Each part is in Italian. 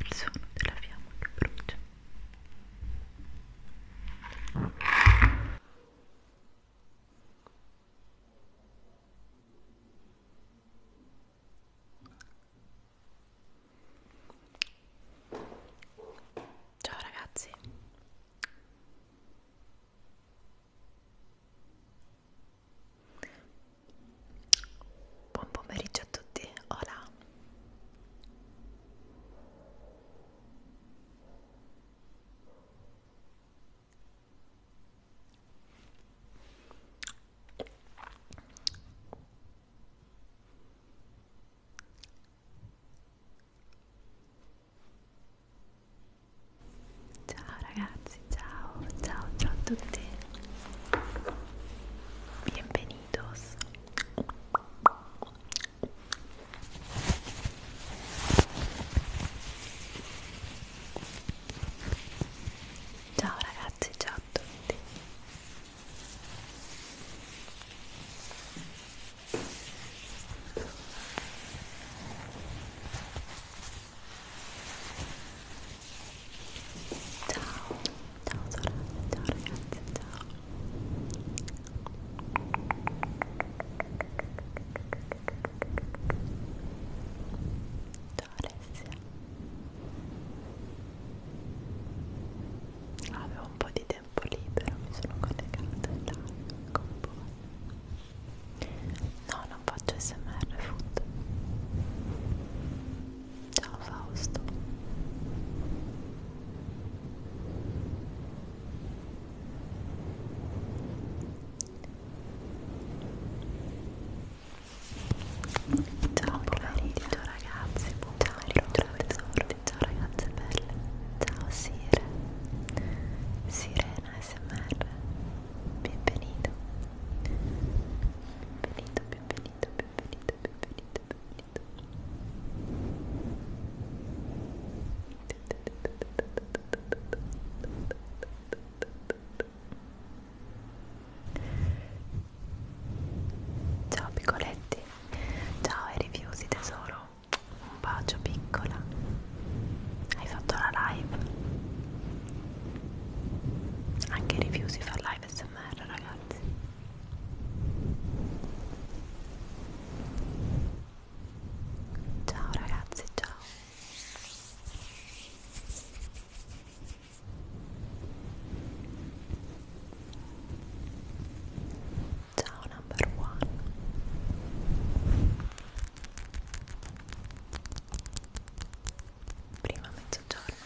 il suono della fiamma che brucia Ciao ragazzi Buon pomeriggio a tutti, hola! Ciao ragazzi, ciao, ciao, ciao a tutti. Benvenuti indossa ciao ragazzi ciao a tutti Ciao, ciao sorelle, ciao ragazzi, ciao. Ciao Alessia. Avevo un po' di tempo libero, mi sono collegata là con voi. No, non faccio smr food. Ciao Fausto. Ciao pomeriggio ragazzi, buon ciao ritrovatesordi, ciao ragazze belle, ciao Sire, Sirena SMR, benvenuto, benvenuto, benvenuto, benvenuto benito, benito, benito. Ciao piccoletti, ciao ai rifiusi tesoro, un bacio piccola, hai fatto la live? Anche i rifiusi fa live smr ragazzi ragazzi ciao ragazzi ciao ciao number one prima mezzogiorno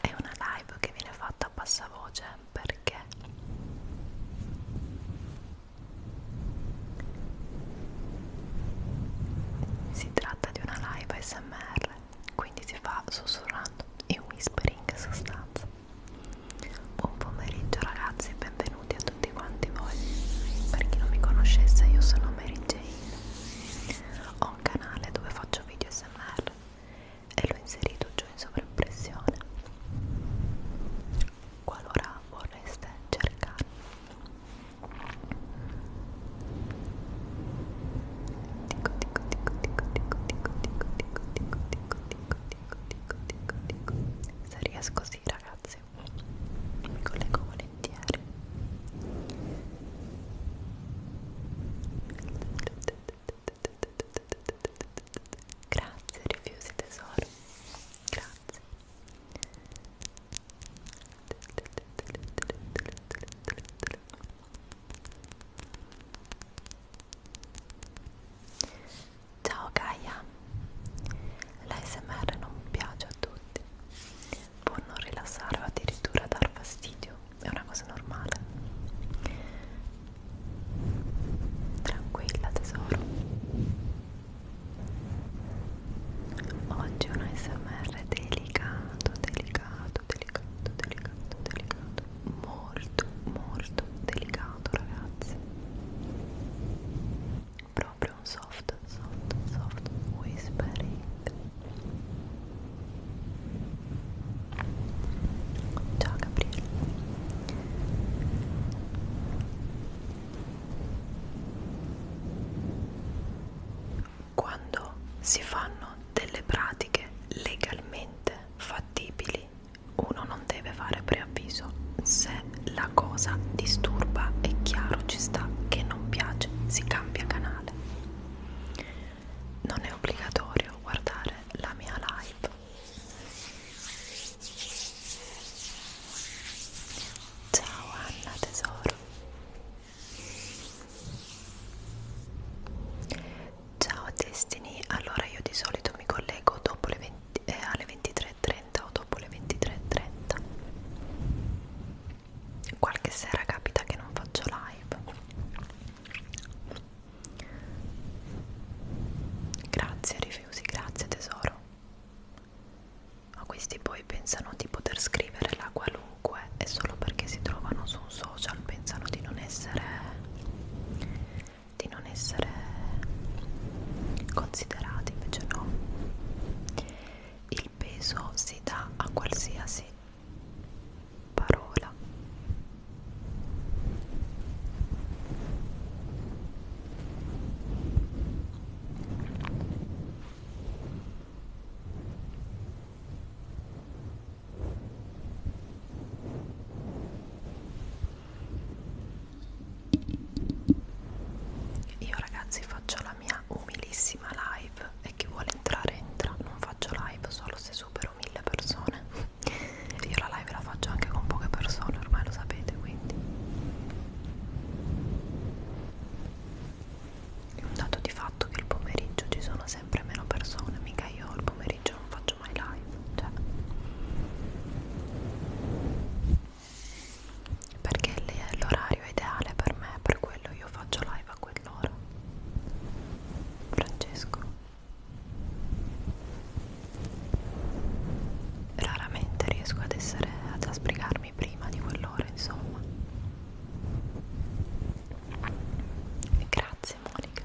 È una live che viene fatta a passavoce perché si tratta di una live SMR, quindi si fa sussurrando in whispering sostanza. Buon pomeriggio ragazzi e benvenuti benvenuti a tutti quanti voi per chi non mi conoscesse io sono Mary Jane ho un canale dove faccio video smr e l'ho inserito giù in sovraimpressione qualora vorreste cercare dico dico dico dico dico dico dico dico dico dico dico dico dico dico dico se riesco sì ragazzi mi collego volentieri grazie rifiusi tesoro grazie Ciao Gaia, l'ASMR non piace a tutti, può non rilassare o addirittura dar fastidio, è una cosa normale. Tranquilla tesoro. Oggi è un ASMR delicato, delicato, delicato, delicato, delicato, molto, molto delicato ragazzi proprio un soft, soft, soft whispering ciao Gabriele quando si fanno delle pratiche legalmente fattibili uno non deve deve fare preavviso se la cosa disturba è chiaro ci sta che non piace si cambia canale non è obbligatorio guardare la mia live ciao Anna tesoro ciao Destiny allora io di solito mi collego dopo le 20 20, eh, alle 23.30 o dopo le 23.30 qualche sera capita che non faccio live grazie Rifiusi, grazie tesoro ma questi poi pensano di poter scrivere la qualunque e solo perché si trovano su un social pensano di non essere di non essere considerati, invece no. Il peso si dà a qualsiasi parola io ragazzi faccio la mia umilissima live e chi vuole entrare entra non faccio live solo se supero mille persone io la live la faccio anche con poche persone ormai lo sapete quindi è un dato di fatto che il pomeriggio ci sono sempre meno persone mica io il pomeriggio non faccio mai live cioè perché è l'orario ideale per me, per quello io faccio live a quell'ora. Francesco. Raramente riesco ad essere ad asbrigarmi prima di quell'ora, insomma. Grazie Monica.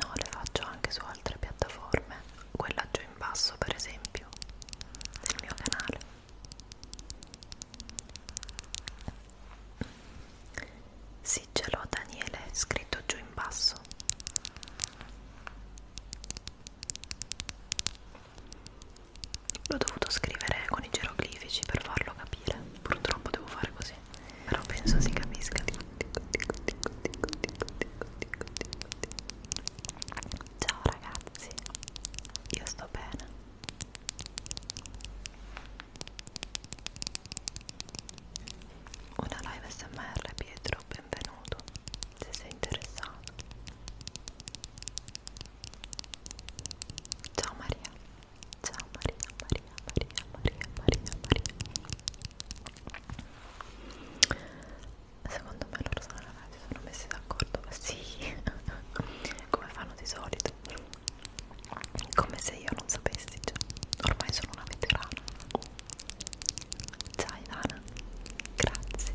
No, le faccio anche su altre piattaforme, quella giù in basso per esempio, del mio canale. Sì, ce l'ho Daniele, scritto giù in basso l'ho dovuto scrivere con i geroglifici per farlo capire purtroppo devo fare così però penso si capisca ciao ragazzi io sto bene una live smr Pietro benvenuto se sei interessato Ciao Maria, ciao Maria, Maria, Maria, Maria, Maria, Maria. Secondo me loro sono ragazzi, sono messi d'accordo, sì, come fanno di solito, come se io non sapessi, cioè, ormai sono una veterana. Ciao Ivana, grazie.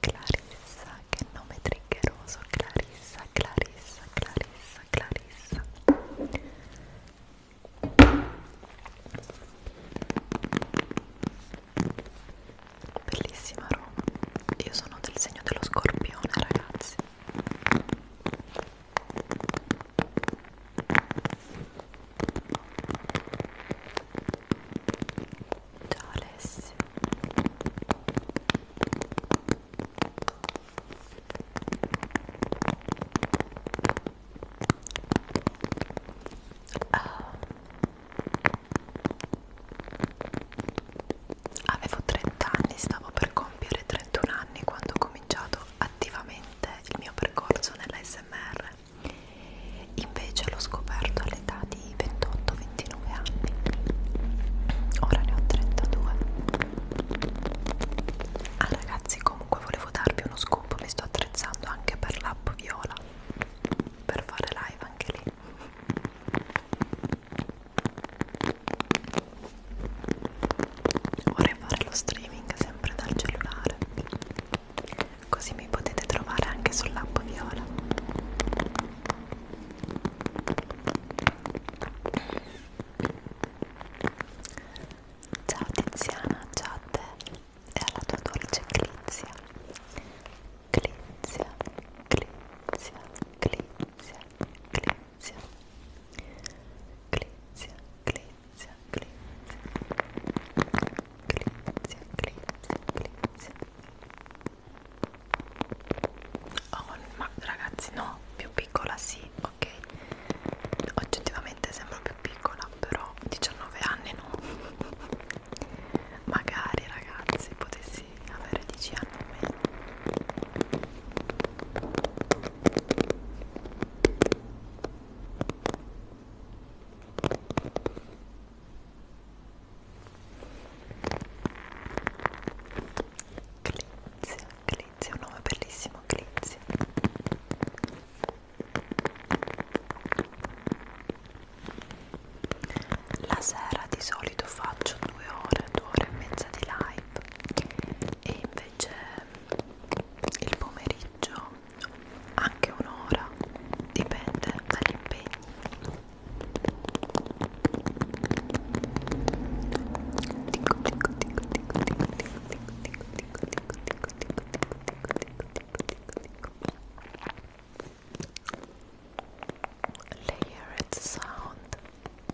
Clarissa, che nome triggeroso, Clarissa, Clarissa, Clarissa, Clarissa. Bellissima Roma. Io sono del segno dello scorpione, ragazzi. Ciao Alessio ah. Avevo 30 anni, stavo per compiere 31 anni quando ho cominciato attivamente il mio percorso nell'ASMR invece l'ho scoperto all'età di 28-29 anni ora ne ho 32 ah ragazzi comunque volevo darvi uno scoop mi sto attrezzando anche per l'app viola per fare live anche lì Vorrei fare lo streaming sempre dal cellulare, così mi potete trovare anche sull'app viola. Ciao Tiziana, ciao a te e alla tua dolce Clizia. Clizia, Clizia, Clizia, Clizia glizia glizia glizia glizia glizia glizia glizia oh ma ragazzi no più piccola sì ok oggettivamente sembro più piccola però 19 anni no magari ragazzi potessi avere 10 anni o meno Clizia, Clizia, un nome bellissimo, Clizia. La sera di solito faccio due ore, due ore e mezza di live e invece il pomeriggio anche un'ora dipende dagli impegni dico dico dico dico dico dico dico dico dico dico dico dico dico dico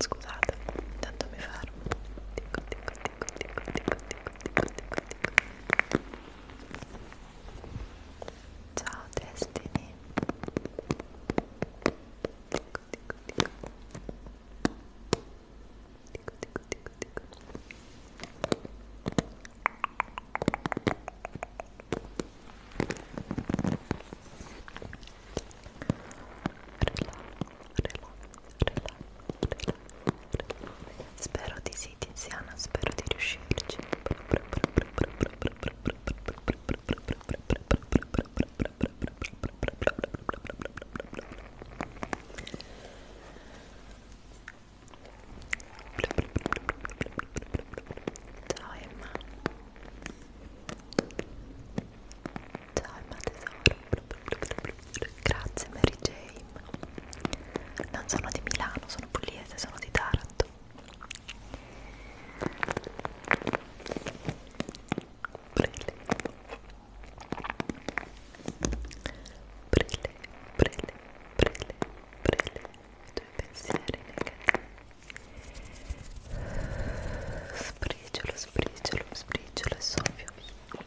Scusate, intanto mi fermo. Dico, dico, dico, dico, dico, dico, dico, dico, dico. Ciao Destiny. Dico, dico, dico. Dico, dico, dico, dico. Spero di sì Tiziana, spero di riuscirci Ciao Emma Ciao Emma tesoro Grazie Mary Jane Non sono di Milano, sono pugliese, sono di Taranto Brille Brille, brille, brille, brille I tuoi pensieri negativi Sbriciolo, sbriciolo, sbriciolo e soffio via.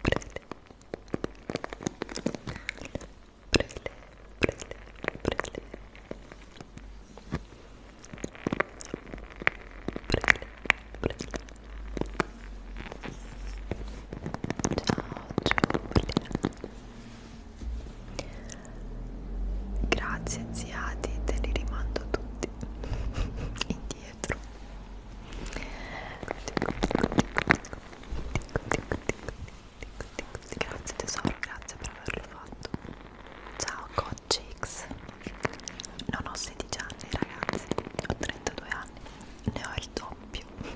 Prele. Prele, prele, prele. Prele, prele. Ciao, ciao, Grazie ziati, te li rimando tutti indietro. Grazie tesoro, grazie per averlo fatto. Ciao Coachix. Non ho 16 anni ragazzi, ho 32 anni, ne ho il doppio.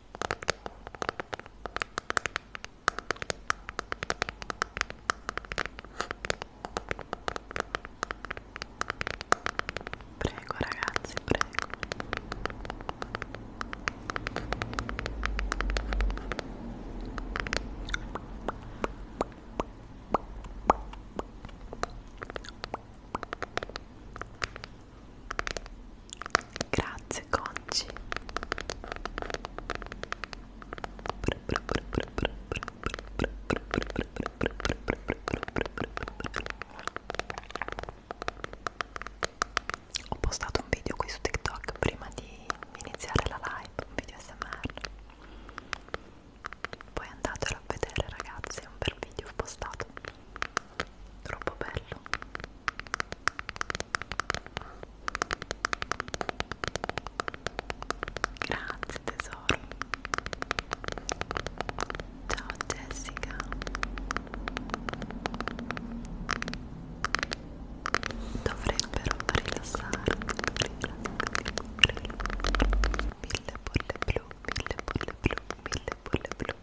Prego ragazzi, prego. Grazie Conci. Ho postato un video qui su TikTok prima di iniziare la live, un video SMR. Poi andatelo a vedere ragazzi, è un bel video postato troppo bello grazie tesoro ciao Jessica dovrebbero rilassare mille bolle blu mille bolle blu mille bolle blu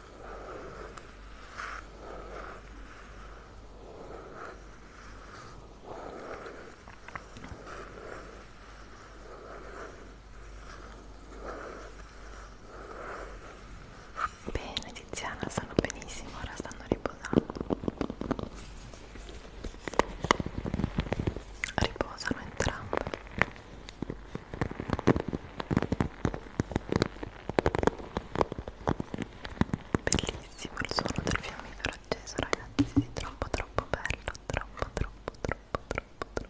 Bene Tiziana, stanno benissimo, ora stanno riposando. Riposano entrambe. Bellissimo il suono del fiammifero acceso ragazzi, troppo troppo bello, troppo troppo troppo troppo troppo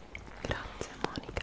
Grazie Monica.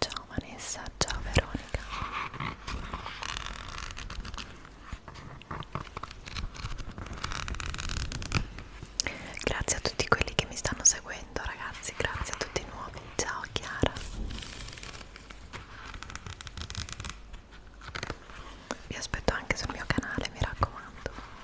Ciao Vanessa, ciao Veronica Grazie a tutti quelli che mi stanno seguendo ragazzi, grazie a tutti i nuovi, ciao Chiara Vi aspetto anche sul mio canale, mi raccomando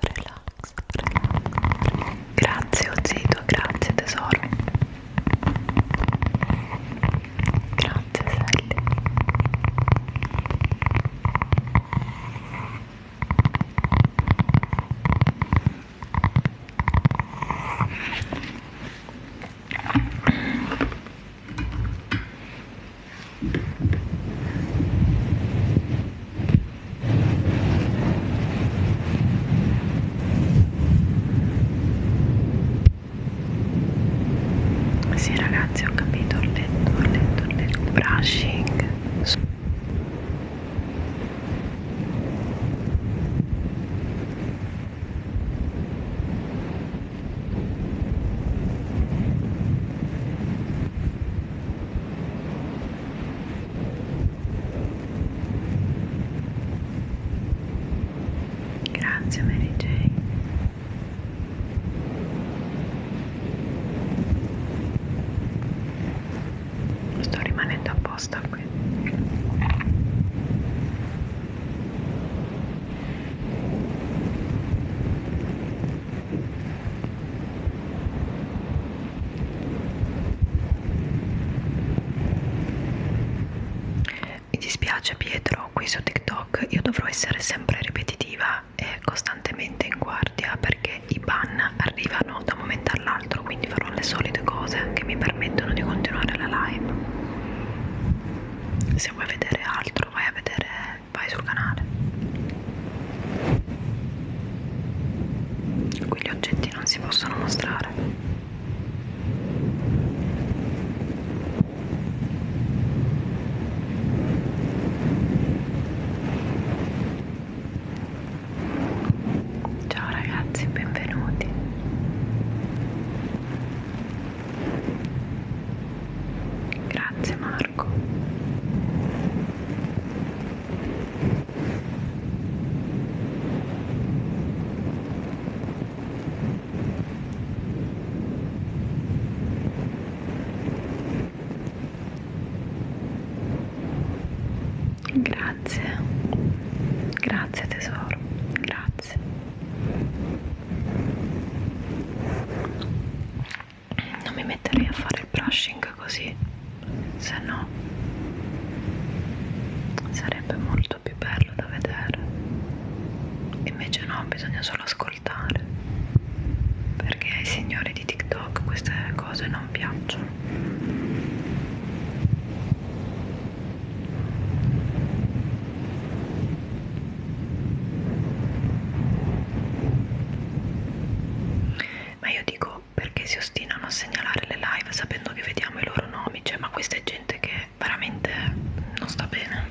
Relax, relax. Grazie Ozito, oh grazie tesoro. Grazie Sally. Sì ragazzi ho capito, ho letto, ho letto, ho letto, brushing. Grazie Mary Jane. Sto rimanendo apposta qui. Mi dispiace Pietro, qui su TikTok io dovrò essere sempre ripetitiva e costantemente in guardia perché i ban arrivano da un momento all'altro, quindi farò le solite cose che mi permettono di continuare la live. Se vuoi vedere altro vai a vedere vai sul canale qui gli oggetti non si possono mostrare ciao ragazzi benvenuti Grazie Marco. Grazie, grazie tesoro, grazie non mi metterei a fare il brushing così se no sarebbe molto più bello da vedere invece no bisogna solo ascoltare perché ai signori di TikTok queste cose non piacciono ma io dico perché si ostinano a segnalare le live sapendo che vediamo i loro nomi, cioè ma questa è gente che veramente non sta bene.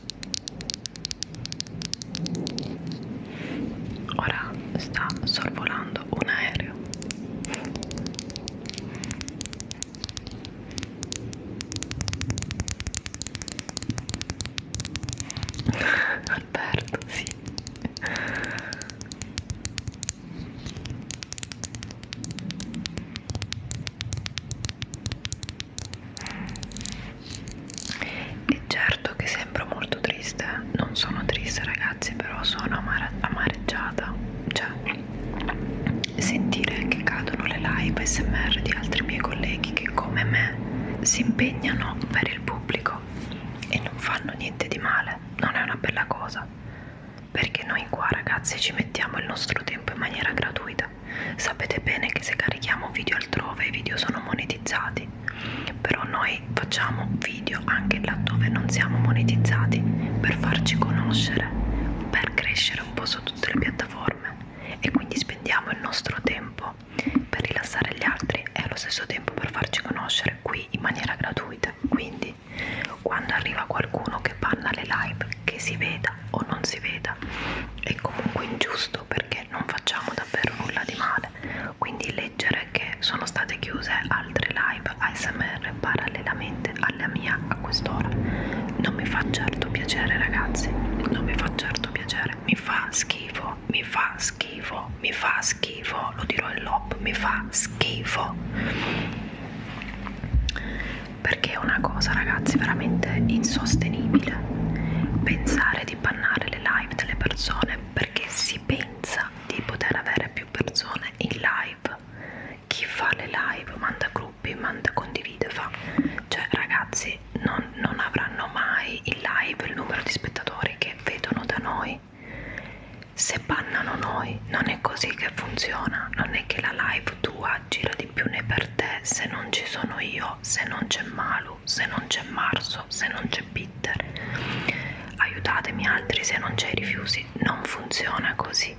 Ora sta sorvolando un aereo. Alberto, sì. E certo che sembro molto triste, non sono triste ragazzi, però sono amare amareggiata. Cioè, sentire che cadono le live smr di altri miei colleghi che come me si impegnano per il pubblico e non fanno niente di male, non è una bella cosa. Perché noi qua ragazzi ci mettiamo il nostro tempo in maniera gratuita moneta. Sapete bene che se carichiamo video altrove i video sono monetizzati, però noi facciamo video anche laddove non siamo monetizzati per farci conoscere, per crescere un po' su tutte le piattaforme e quindi spendiamo il nostro tempo per rilassare gli altri e allo stesso tempo per farci conoscere qui in maniera gratuita. Quindi quando arriva qualcuno che parla alle live, che si vede, veda o non si veda è comunque ingiusto perché non facciamo davvero nulla di male quindi leggere che sono state chiuse altre live ASMR parallelamente alla mia a quest'ora non mi fa certo piacere ragazzi non mi fa certo piacere mi fa schifo mi fa schifo mi fa schifo lo dirò in lop mi fa schifo perché è una cosa ragazzi veramente insostenibile pensare di bannare le live delle persone perché si pensa di poter avere più persone in live chi fa le live manda gruppi manda condivide fa cioè ragazzi non, non avranno mai in live il numero di spettatori che vedono da noi se bannano noi non è così che funziona non è che la live tua gira di il più ne per te se non ci sono io, se non c'è Malu, se non c'è Marso, se non c'è Peter. Aiutatemi altri se non c'è i rifiuti, non funziona così.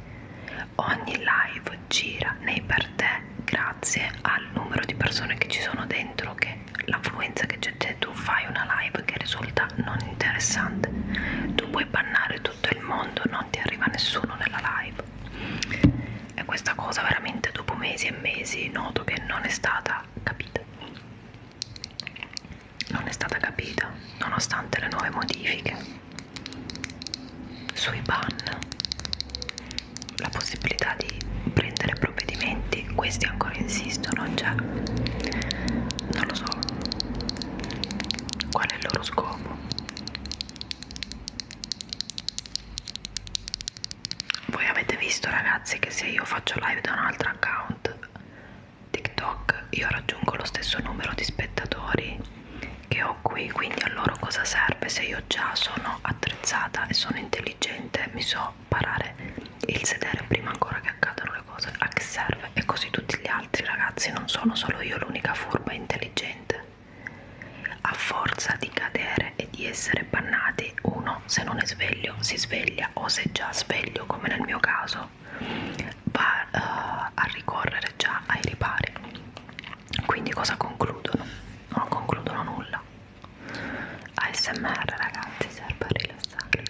Ogni live gira nei per te grazie al numero di persone che ci sono dentro, che l'affluenza che c'è te, cioè, tu fai una live che risulta non interessante. Tu puoi bannare tutto il mondo, non ti arriva nessuno nella live e questa cosa veramente dopo mesi e mesi noto che non è stata capita non è stata capita nonostante le nuove modifiche sui ban la possibilità di prendere provvedimenti questi ancora insistono cioè non lo so qual è il loro scopo voi avete visto ragazzi che se io faccio live da un altro account TikTok io raggiungo lo stesso numero di spettatori che ho qui quindi a loro cosa serve se io già sono attrezzata e sono intelligente mi so parare il sedere prima ancora che accadano le cose a che serve e così tutti gli altri ragazzi non sono solo io l'unica furba e intelligente a forza di cadere e di essere bannati, uno se non è sveglio si sveglia o se già sveglio, come nel mio caso, va uh, a ricorrere già ai ripari. Quindi cosa concludono? Non concludono nulla. ASMR ragazzi serve a rilassare.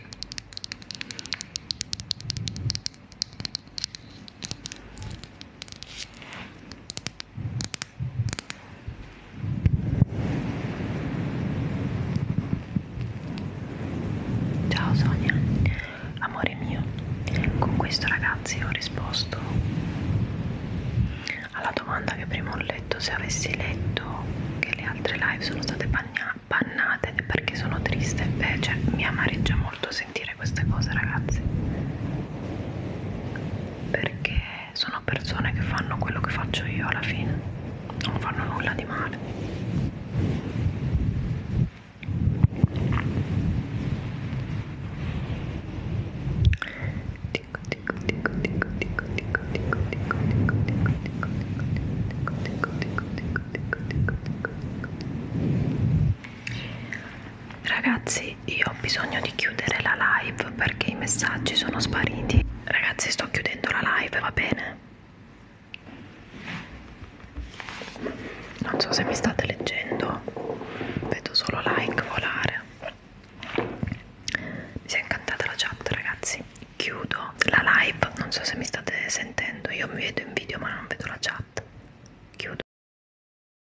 Ciao Sonia, amore mio, con questo ragazzi ho risposto alla domanda che prima ho letto, se avessi letto che le altre live sono state bannate perché sono triste, beh, cioè mi amareggia molto sentire dire queste cose ragazzi perché sono persone che fanno quello che faccio io alla fine non fanno nulla di male dico dico dico dico dico dico dico dico dico dico dico dico dico dico dico dico dico dico dico Ragazzi, io ho bisogno di chiudere la live perché i messaggi sono spariti. Ragazzi, sto chiudendo la live, va bene? Non so se mi state leggendo, vedo solo like volare. Mi si è incantata la chat, ragazzi. Chiudo la live, non so se mi state sentendo. Io mi vedo in video, ma non vedo la chat. Chiudo.